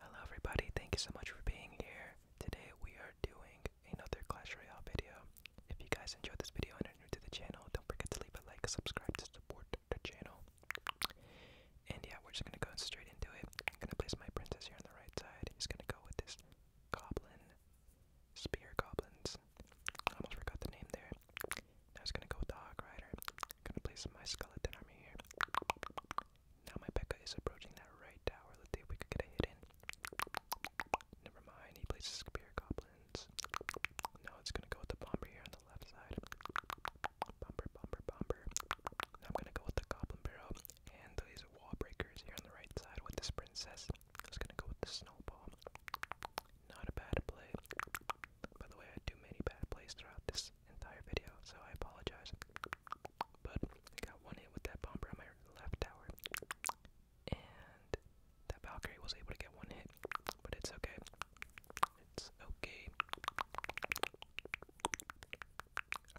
Hello everybody, thank you so much for being here. Today we are doing another Clash Royale video. If you guys enjoyed this video and are new to the channel, don't forget to leave a like, subscribe to support the channel. And yeah, we're just gonna go straight into it. I'm gonna place my princess here on the right side. He's gonna go with this goblin, spear goblins. I almost forgot the name there. Now he's gonna go with the hog rider. I'm gonna place my skeleton army here. Now my Becca is approaching that right tower. Let's see if we could get a hit in. Never mind, he places Spear Goblins. Now it's gonna go with the Bomber here on the left side. Bomber, Bomber, Bomber. I'm gonna go with the Goblin Barrel and these Wall Breakers here on the right side with this Princess. I gonna go with the Snowball. Not a bad play. By the way, I do many bad plays throughout this entire video, so I apologize. But I got one hit with that bomber on my left tower, and that Valkyrie was able to get one hit, but it's okay. It's okay.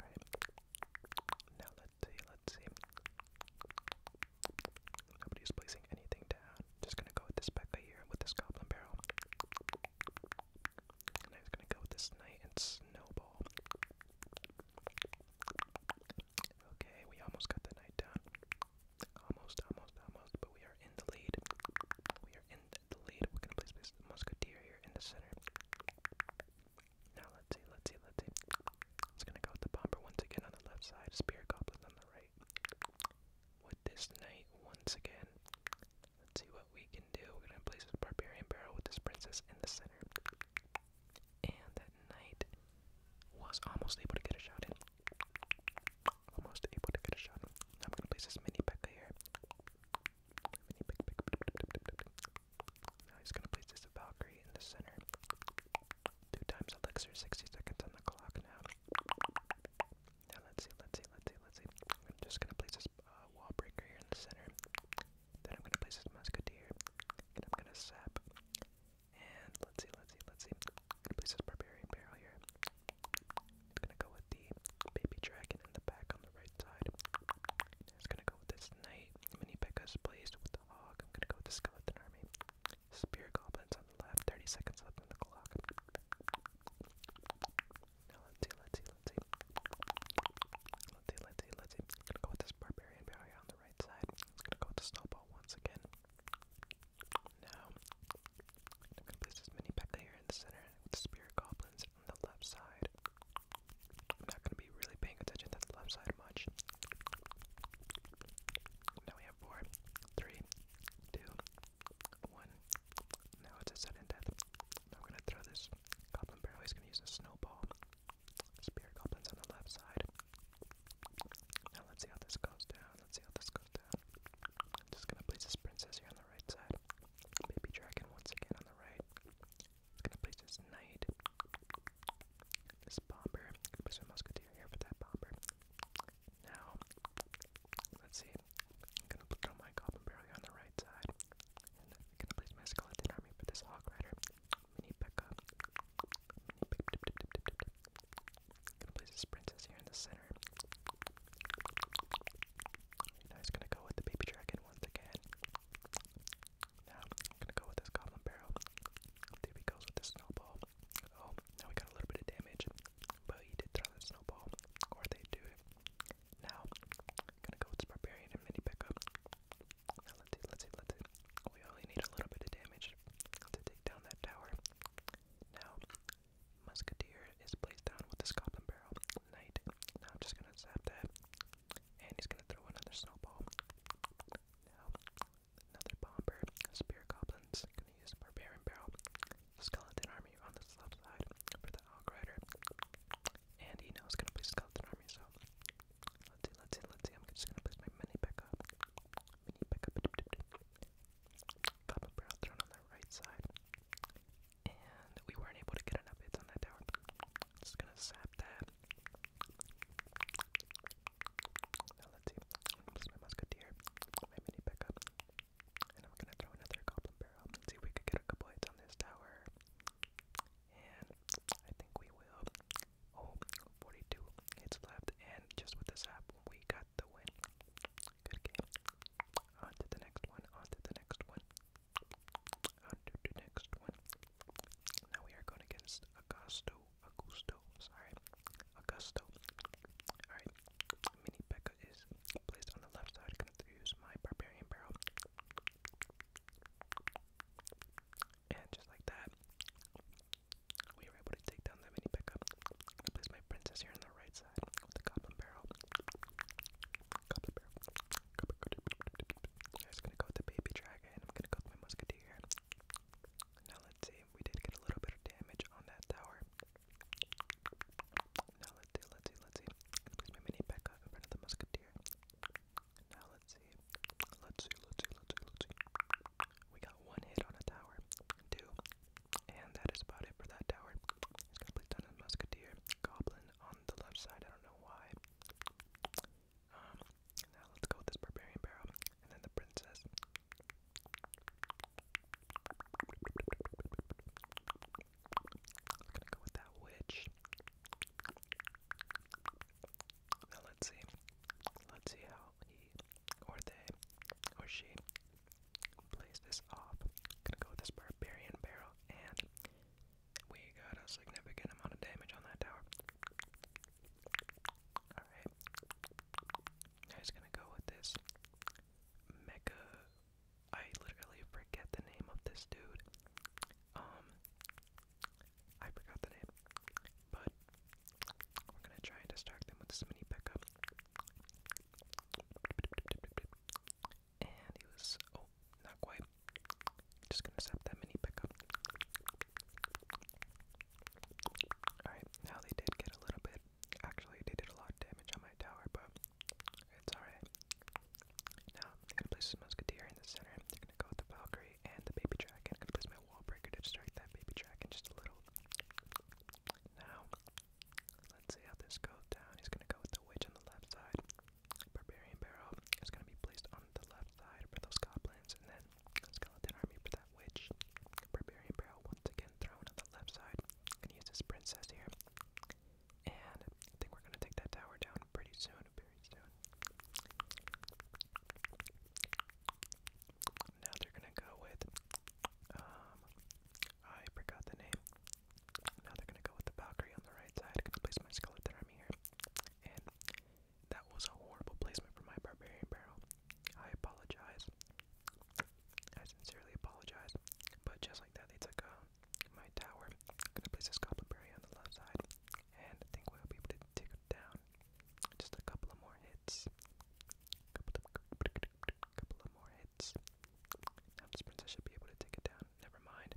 Alright. Now let's see, let's see. Nobody's placing anything down. Just gonna go with this Becca here with this goblin barrel. And I was gonna go with this knight and snowball. Okay, we almost got the knight down. Almost, almost, almost, but we are in the lead. We are in the lead. We're gonna place this here in the center. Now let's see, let's see, let's see. It's gonna go with the bomber once again on the left side, spear goblin on the right this night once again. Let's see what we can do. We're gonna place this barbarian barrel with this princess in the center. And that knight was almost able to get a shot in. Almost able to get a shot in. I'm gonna place this mini Pekka here. Mini Pekka. Now he's gonna place this Valkyrie in the center. Two times elixir, 60 seconds on the clock now. Now let's see, let's see, let's see, let's see. I'm just gonna place this uh, wall breaker here in the center. Then I'm gonna place this musketeer. And I'm gonna sap. And let's see, let's see, let's see. I'm gonna place this barbarian barrel here. It's gonna go with the baby dragon in the back on the right side. It's gonna go with this knight. Mini Pekka's placed with the hog. I'm gonna go with the skeleton army. Spear goblins on the left. 30 seconds left on the clock let's see, let's see, let's see. Let's see, let's see, let's see. gonna go with this barbarian barrier on the right side. gonna go with the snowball once again. Now, gonna place this mini P.E.K.K.A in the center the spirit goblins on the left side. not gonna be really paying attention to the left side much. Now we have four, three, two, one. Now it's a sudden death. I'm gonna throw this goblin barrel. He's gonna use a snowball. Spear goblins on the left side. Now let's see how this goes down. Let's see how this goes down. I'm just gonna place this princess here on the right side. Baby dragon once again on the right. I'm gonna place this knight. This bomber. gonna place a musketeer here for that bomber. Now, let's see. I'm gonna put on my goblin barely on the right side. And I'm gonna place my skeleton army for this hog rider. Mini pickup. I'm gonna place this princess here in the center. And I was gonna go with the baby dragon once again. Now I'm gonna go with this goblin barrel. There he goes with the snowball. Oh, now we got a little bit of damage. But he did throw that snowball, or they do Now, gonna go with barbarian and mini pickup. Now let's see, let's see, let's see. We only need a little bit of damage to take down that tower. Now, musketeer is placed down with the goblin barrel. Knight. Now I'm just gonna zap that, and he's gonna throw another snowball. Now, another bomber. Spear goblins. Gonna use barbarian barrel. Skeleton Army on the left side for the Outrider. And he knows gonna play Skeleton Army, so let's see, let's see, let's see. I'm just gonna place my mini pickup. Mini pickup. Goblin Barrel Throne on the right side. And we weren't able to get an update on that tower. Just gonna sap that. Now let's see. my musketeer, my mini pickup, and I'm gonna throw another goblin barrel. see if we could get a couple hits on this tower. And I think we will. Oh, 42 hits left, and just with this app, we got the win. Good game. On to the next one, on to the next one, on to the next one. Now we are going against Augusto. Augusto, sorry, Augusto. Alright, Mini Becca is placed on the left side. Gonna use my Barbarian Barrel. And just like that, we were able to take down that Mini Becca. I place my Princess here on the right side with the Goblin Barrel. Goblin I'm gonna go with the Baby Dragon. I'm gonna go with my Musketeer. Now let's see we did get a little bit of damage on that tower. Now let's see, let's see, let's see. Please my mini back up in front of the musketeer. Now let's see. Let's see, let's see, let's see, We got one hit on a tower. Two. And that is about it for that tower. It's gonna place musketeer. Goblin on the left side, I don't know why. Um, now let's go with this barbarian barrel. And then the princess gonna go with that witch. Now let's see. Let's see how he or they or she plays this off. gonna go with this barbarian barrel and we got a significant amount of damage on that tower. Alright. I was gonna go with this Mega. I literally forget the name of this dude. Um. I forgot the name. But we're gonna try and distract them with this mini pickup. And he was. Oh, not quite. Just gonna set that mini pickup. Alright, now they did get a little bit. Actually, they did a lot of damage on my tower, but it's alright. Now, I'm gonna place the Musketeer in the center. They're gonna go with the Valkyrie and the Baby Dragon. I'm gonna place my Wall Breaker to distract that Baby Dragon just a little. Now, let's see how this goes down. He's gonna go with the Witch on the left side. Barbarian Barrel is gonna be placed on the left side for those goblins, and then skeleton army for that witch. Barbarian Barrel once again thrown on the left side. Gonna use this princess here. And I think we're gonna take that tower down pretty soon, very soon. Now they're gonna go with um I forgot the name. Now they're gonna go with the Valkyrie on the right side. I'm gonna place my skeleton army here. And that was a horrible placement for my barbarian barrel. I apologize. I sincerely apologize. But just like that, they took uh, my tower. I'm gonna place this goblin berry on the left side, and I think we'll be able to take it down. Just a couple of more hits. Couple of, more hits. Now this princess should be able to take it down. Never mind.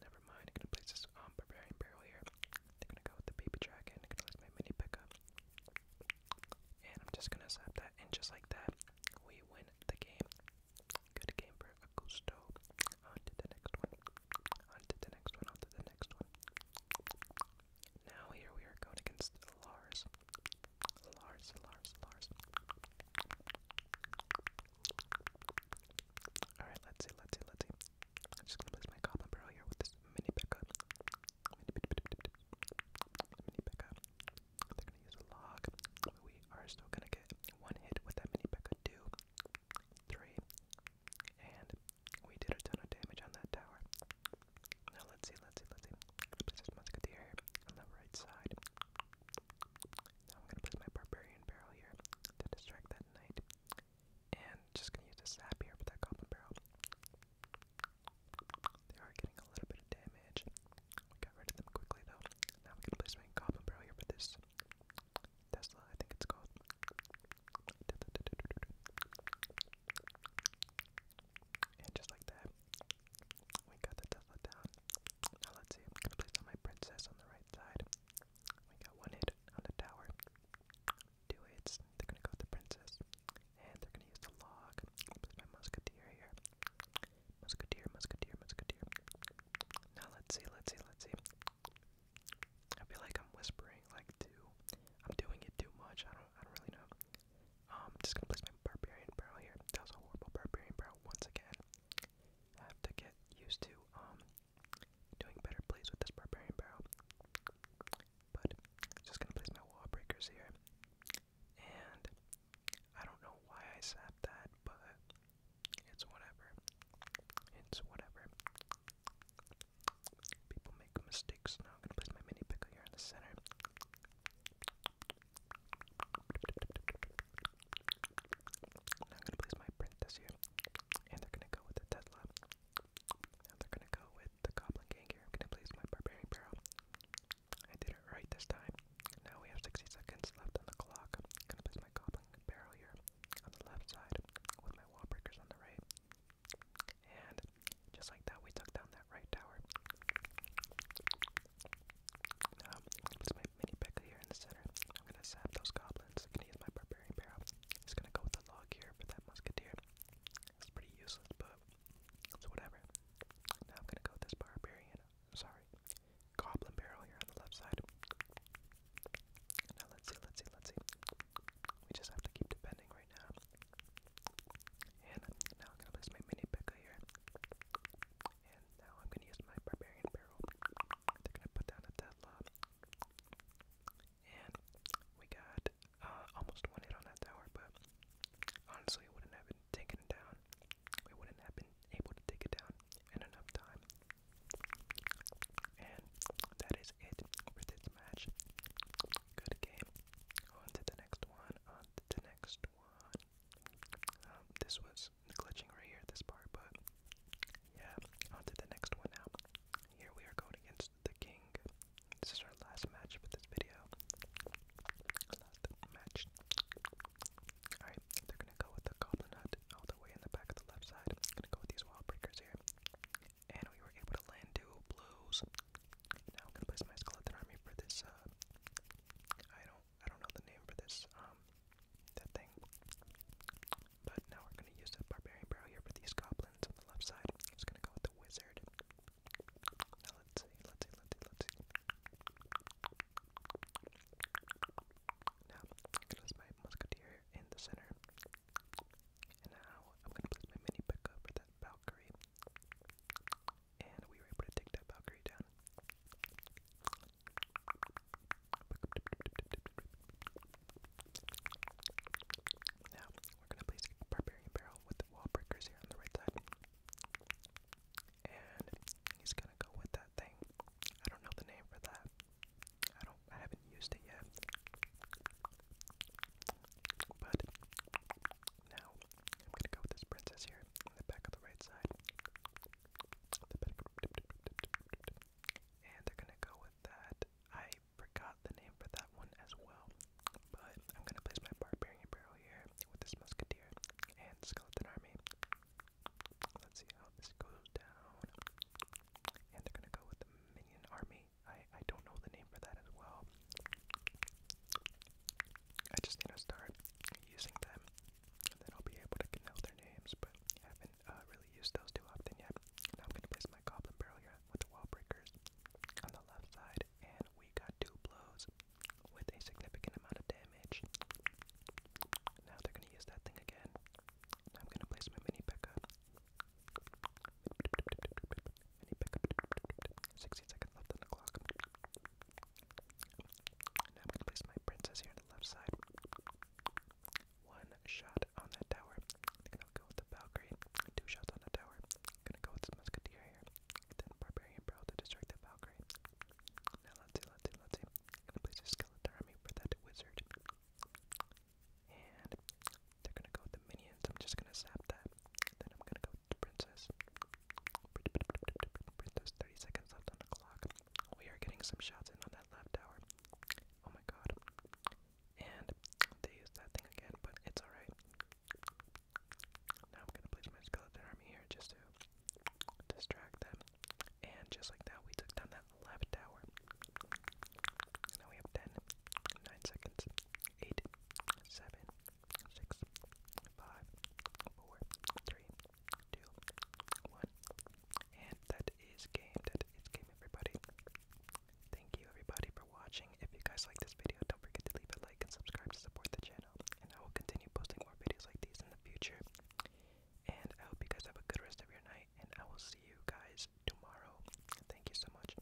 Never mind. I'm gonna place this um, barbarian barrel here. They're gonna go with the baby dragon. I'm gonna let my mini pick And I'm just gonna zap that, and just like that, we win the game. Good game for Augusto. On to the next one. On to the next one. On to the next one. Now here we are going against Lars. Lars, Lars, Lars. Alright, let's see, let's see, let's see. I'm just gonna place my goblin barrel here with this mini pickup. Mini, mini pickup. They're gonna use a log. We are still gonna get one hit with that mini pickup. Two, three, and we did a ton of damage on that tower. Now let's see, let's see, let's see. Place this musketeer here on the right side. Now I'm gonna place my barbarian barrel here to distract that knight. And just gonna use the sap here with that copper barrel. They are getting a little bit of damage. We got rid of them quickly though. Now we can place my goblin barrel here with this Tesla, I think it's called. And just like that, we got the Tesla down. Now let's see, I'm gonna place my princess on the right side. We got one hit on the tower. Two hits. They're gonna go with the princess. And they're gonna use the log. Put my musketeer here. Musketeer, musketeer, musketeer. Now let's see, let's see, let's see. I feel like I'm whispering like too. I'm doing it too much. I don't I don't really know. Um just gonna place my barbarian barrel here. That was a horrible barbarian barrel once again. have to get used to um Doing better plays with this Barbarian Barrel. But just gonna place my wall breakers here. And I don't know why I sapped that, but it's whatever. It's whatever. People make mistakes. Now I'm gonna place my mini pickle here in the center. I'm gonna place my print this year. And they're gonna go with the Tesla. And they're gonna go with the Goblin Gang here. I'm gonna place my Barbarian Barrel. I did it right this time. Now we have 60 seconds left on the clock. I'm gonna place my Goblin Barrel here on the left side with my wall breakers on the right. And just like that, we took down that right tower mini pick here in the center. I'm gonna sap those goblins. I'm gonna use my barbarian barrel. Just gonna go with the log here for that musketeer. It's pretty useless, but it's whatever. Now I'm gonna go with this barbarian. Sorry, goblin barrel here on the left side. Now let's see, let's see, let's see. We just have to keep defending right now. And now I'm gonna place my mini Pekka here. And now I'm gonna use my barbarian barrel. They're gonna put down a Tesla. And we got uh, almost one hit on that tower, but honestly, it wouldn't have been taken down. We wouldn't have been able to take it down in enough time. And that is it for this match. Good game. On to the next one. On to the next one. Um, this was glitching right here at this part, but yeah, onto the next one now. Here we are going against the king. This is our last match for this video. Last match. Alright, they're gonna go with the goblin hut all the way in the back of the left side. Gonna go with these wall here. And we were able to land two blues. Now I'm gonna place my skeleton army for this uh I I don't know the name for this, um, that thing. But now we're gonna use the Barbarian Barrel here for these goblins on the left side. I'm just gonna go with the Wizard. Now let's see, let's see, let's see, let's see. Now, I'm gonna place my Musketeer in the center. And now, I'm gonna place my mini pick over that Valkyrie. And we were able to take that Valkyrie down. Now, we're going to place a Barbarian Barrel with the wall breakers here on the right side. And he's going to go with that thing. I don't know the name for that. I don't I haven't used it yet. But now I'm gonna go with this princess here on the back of the right side. And they're gonna go with that. I forgot the name for that one as well. But I'm gonna place my barbarian barrel here with this musketeer and skeleton army. Let's see how this goes down. And they're gonna go with minion army. I I don't know the name for that as well. I just need to start using them, and then I'll be able to know their names, but haven't uh, really used those too often yet. Now I'm going to place my Goblin Barrel with Wall Breakers on the left side, and we got two blows with a significant amount of damage. Now they're going to use that thing again. Now I'm going to place my Mini Pekka. up. Pekka. seconds left on the clock. Now I'm gonna place my princess here on the left side. One shot on that tower. gonna go with the Valkyrie. Two shots on the tower. gonna go with the Musketeer here. Then Barbarian Bro to distract the Valkyrie. Now let's see, let's see, let's see. gonna place a Skeleton Army for that Wizard. And they're gonna go with the Minions. I'm just gonna zap that. then I'm gonna go with the Princess. 30 seconds left on the clock. We are getting some shots in on that left tower. Oh my god. And they used that thing again, but it's alright. Now I'm gonna place my skeleton army here just to distract them. And just like that, we took down that left tower. Now we have 10, seconds, 8, 7, six, five, four, three, two, one. And that is game. That is game, everybody. Thank you, everybody, for watching. If you guys like this video, don't forget to leave a like and subscribe to support the channel. And I will continue posting more videos like these in the future. And I hope you guys have a good rest of your night. And I will see you guys tomorrow. Thank you so much.